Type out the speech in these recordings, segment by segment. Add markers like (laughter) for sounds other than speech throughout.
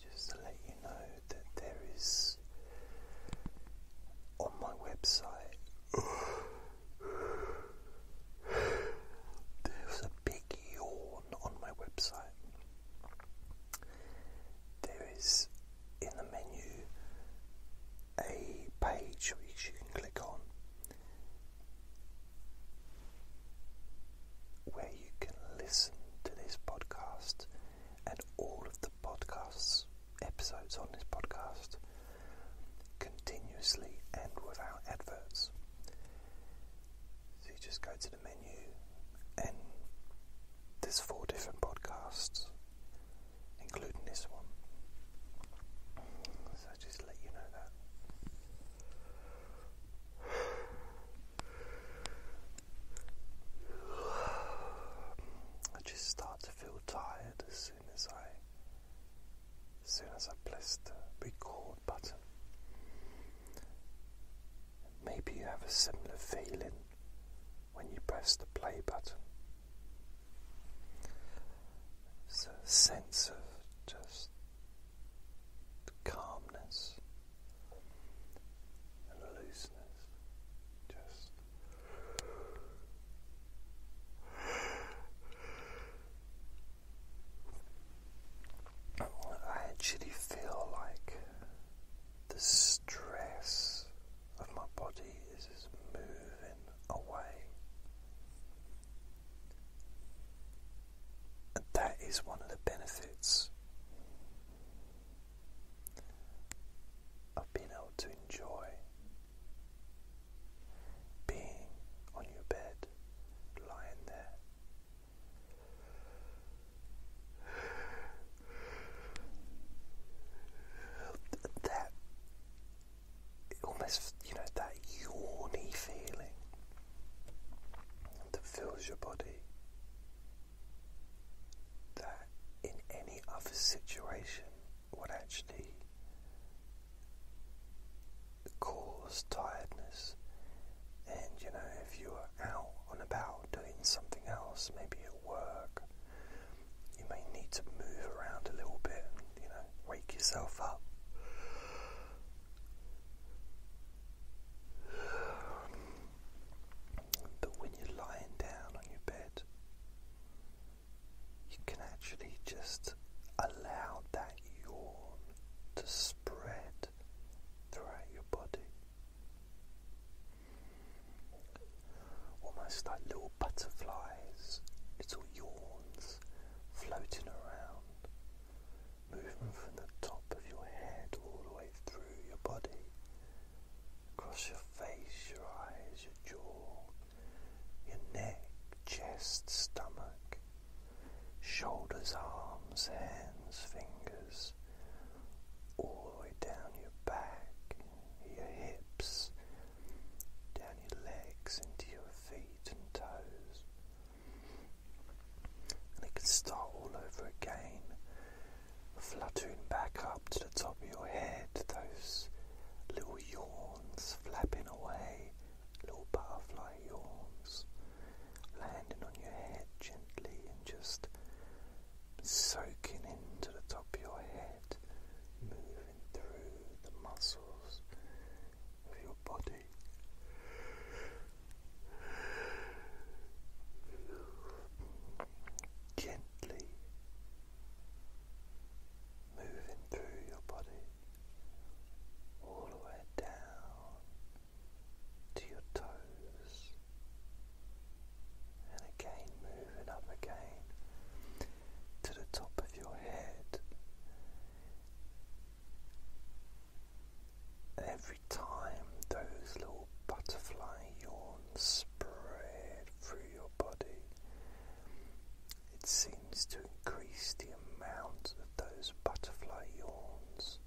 just to let you know that there is on my website there's a big yawn on my website. There is in the menu a page which you can click on where you can listen to this podcast and all of the podcasts, episodes on this podcast, continuously and without adverts. So you just go to the menu, and there's four different podcasts, including this one. So I just let you know that. I just start to feel tired as soon as I as soon as I press the record button. Maybe you have a similar feeling when you press the play button. It's a sense of just calmness and looseness. Just I actually feel like the stress of my body is moving away. And that is one of the benefits of being able to enjoy being on your bed, lying there. That almost, you know, that yawny feeling that fills your body that in any other situation would actually cause tiredness. And you know, if you are out and about doing something else, maybe at work, you may need to move around a little bit and you know, wake yourself up that when you're lying down on your bed, you can actually just allow that yawn to spread throughout your body. Almost like little butterflies, little yawns floating around, moving from the top of your head all the way through your body across your face, your eyes, your jaw, your neck, chest, stomach, shoulders, arms, hands, fingers, all the way down your back, your hips, down your legs, into your feet and toes. And it can start all over again fluttering back up to the top of your head, those little yawns flapping away, little butterfly yawns, landing on your head gently and just soaking into the top of your head, moving through the muscles of your body. Gently moving through your body all the way down to your toes, and again moving up again to the top of your head every time those little butterfly yawns spread through your body, it seems to increase the amount of those butterfly yawns.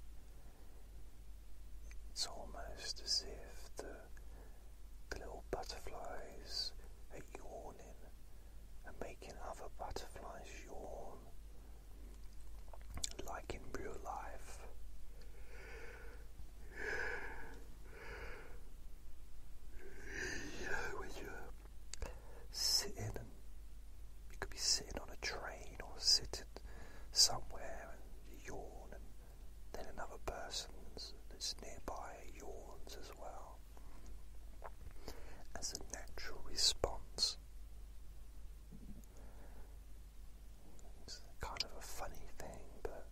It's almost as if the, little butterflies are yawning and making other butterflies yawn, like in real life you know, when you're sitting you could be sitting on a train or sitting somewhere and you yawn and then another person that's nearby yawns as well as a natural response it's kind of a funny thing, but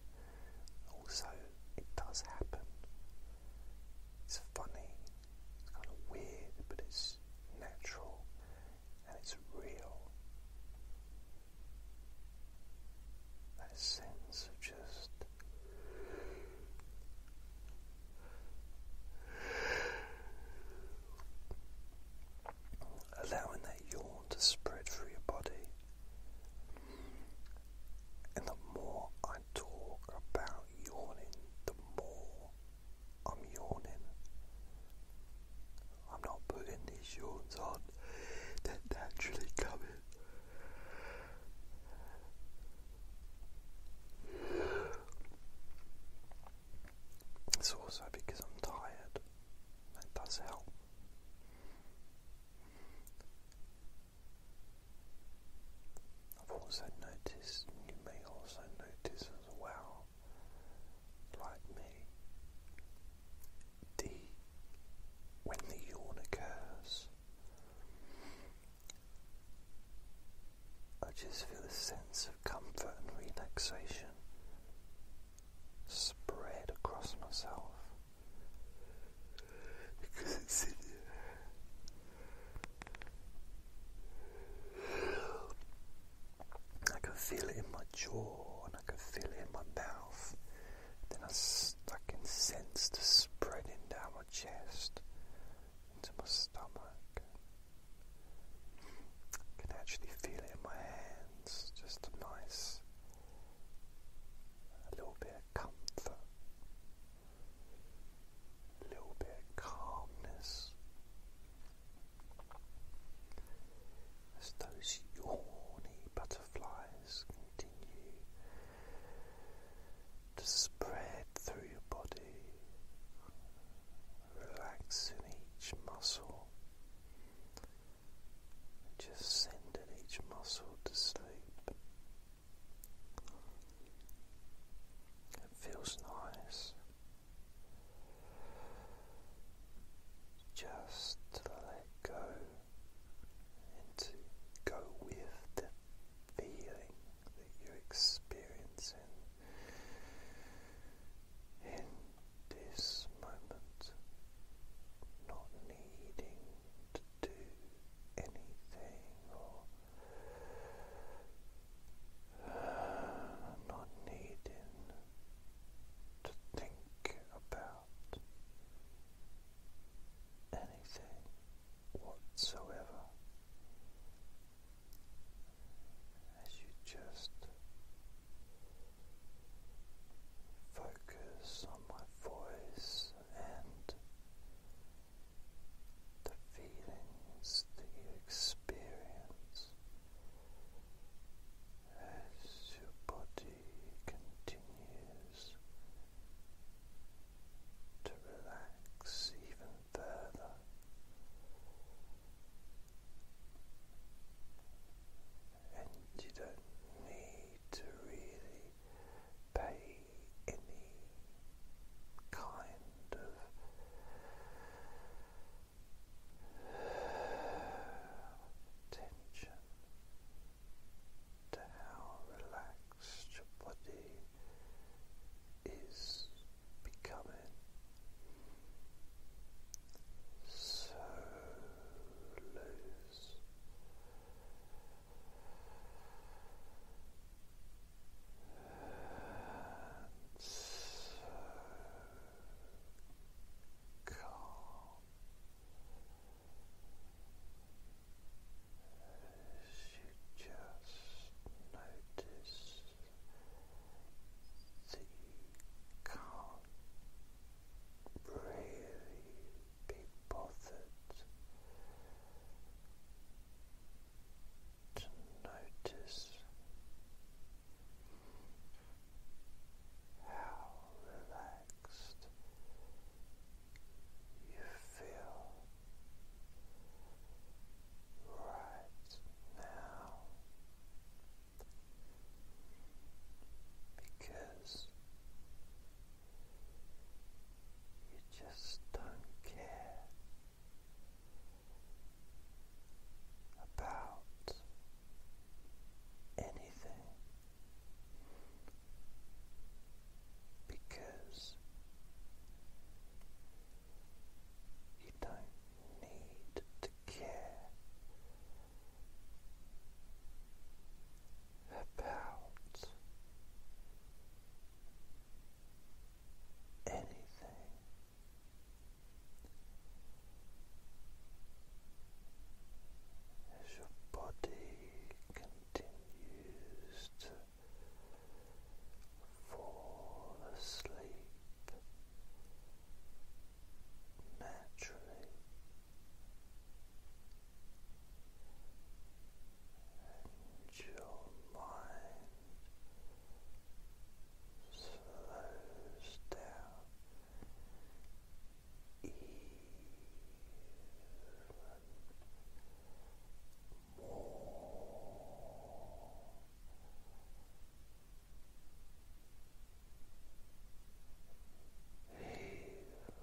also it does happen. It's funny, it's kind of weird, but it's natural and it's real. That sense of just allowing that yawn to spread through your body. And the more I talk about yawning, the more I'm yawning. I'm not putting these yawns on, they're naturally coming. It's also because I'm tired. That does help. I've also noticed, you may also notice as well, like me, the when the yawn occurs, I just feel a sense of comfort and relaxation spread across myself because it's (laughs) in I can feel it in my jaw and I can feel it in my mouth. Then I, I can sense the spreading down my chest into my stomach. I can actually feel it in my hands just a nice a little bit of comfort, a little bit of calmness. As those yawny butterflies continue to spread through your body, relaxing each muscle, just sending each muscle to sleep. It feels nice just to let go and to go with the feeling that you're experiencing in this moment, not needing to do anything or (sighs) not needing to think about anything whatsoever as you just Focus on my voice and the feelings that you experience as your body continues to relax even further and you don't need to really pay any kind of attention to how relaxed your body is becoming so loose. And so calm as you just notice that you really be bothered to notice how relaxed you feel right now because you just don't care about anything because you don't need to care about anything. As your body continues to fall asleep, naturally and your mind slows down even more even more. Even deeper. Sleeping.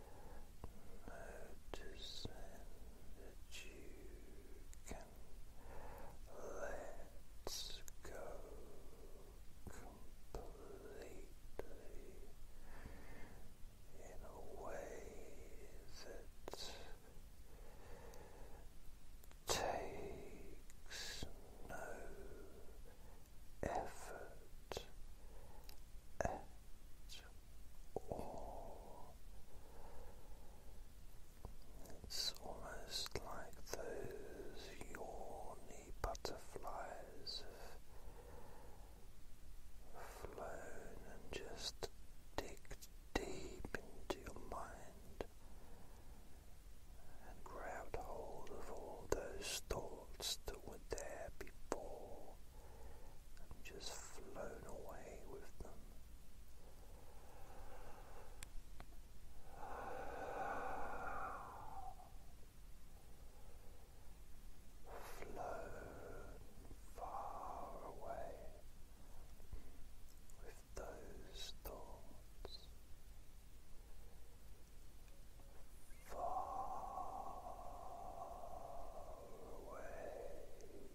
Noticing that you can let go completely in a way that takes no effort at all. It's almost like those yawny butterflies have flown and just digged deep into your mind and grabbed hold of all those thoughts thoughts that were there before and just flown away with them. Flown far away with those thoughts, far away. Far away. Drifting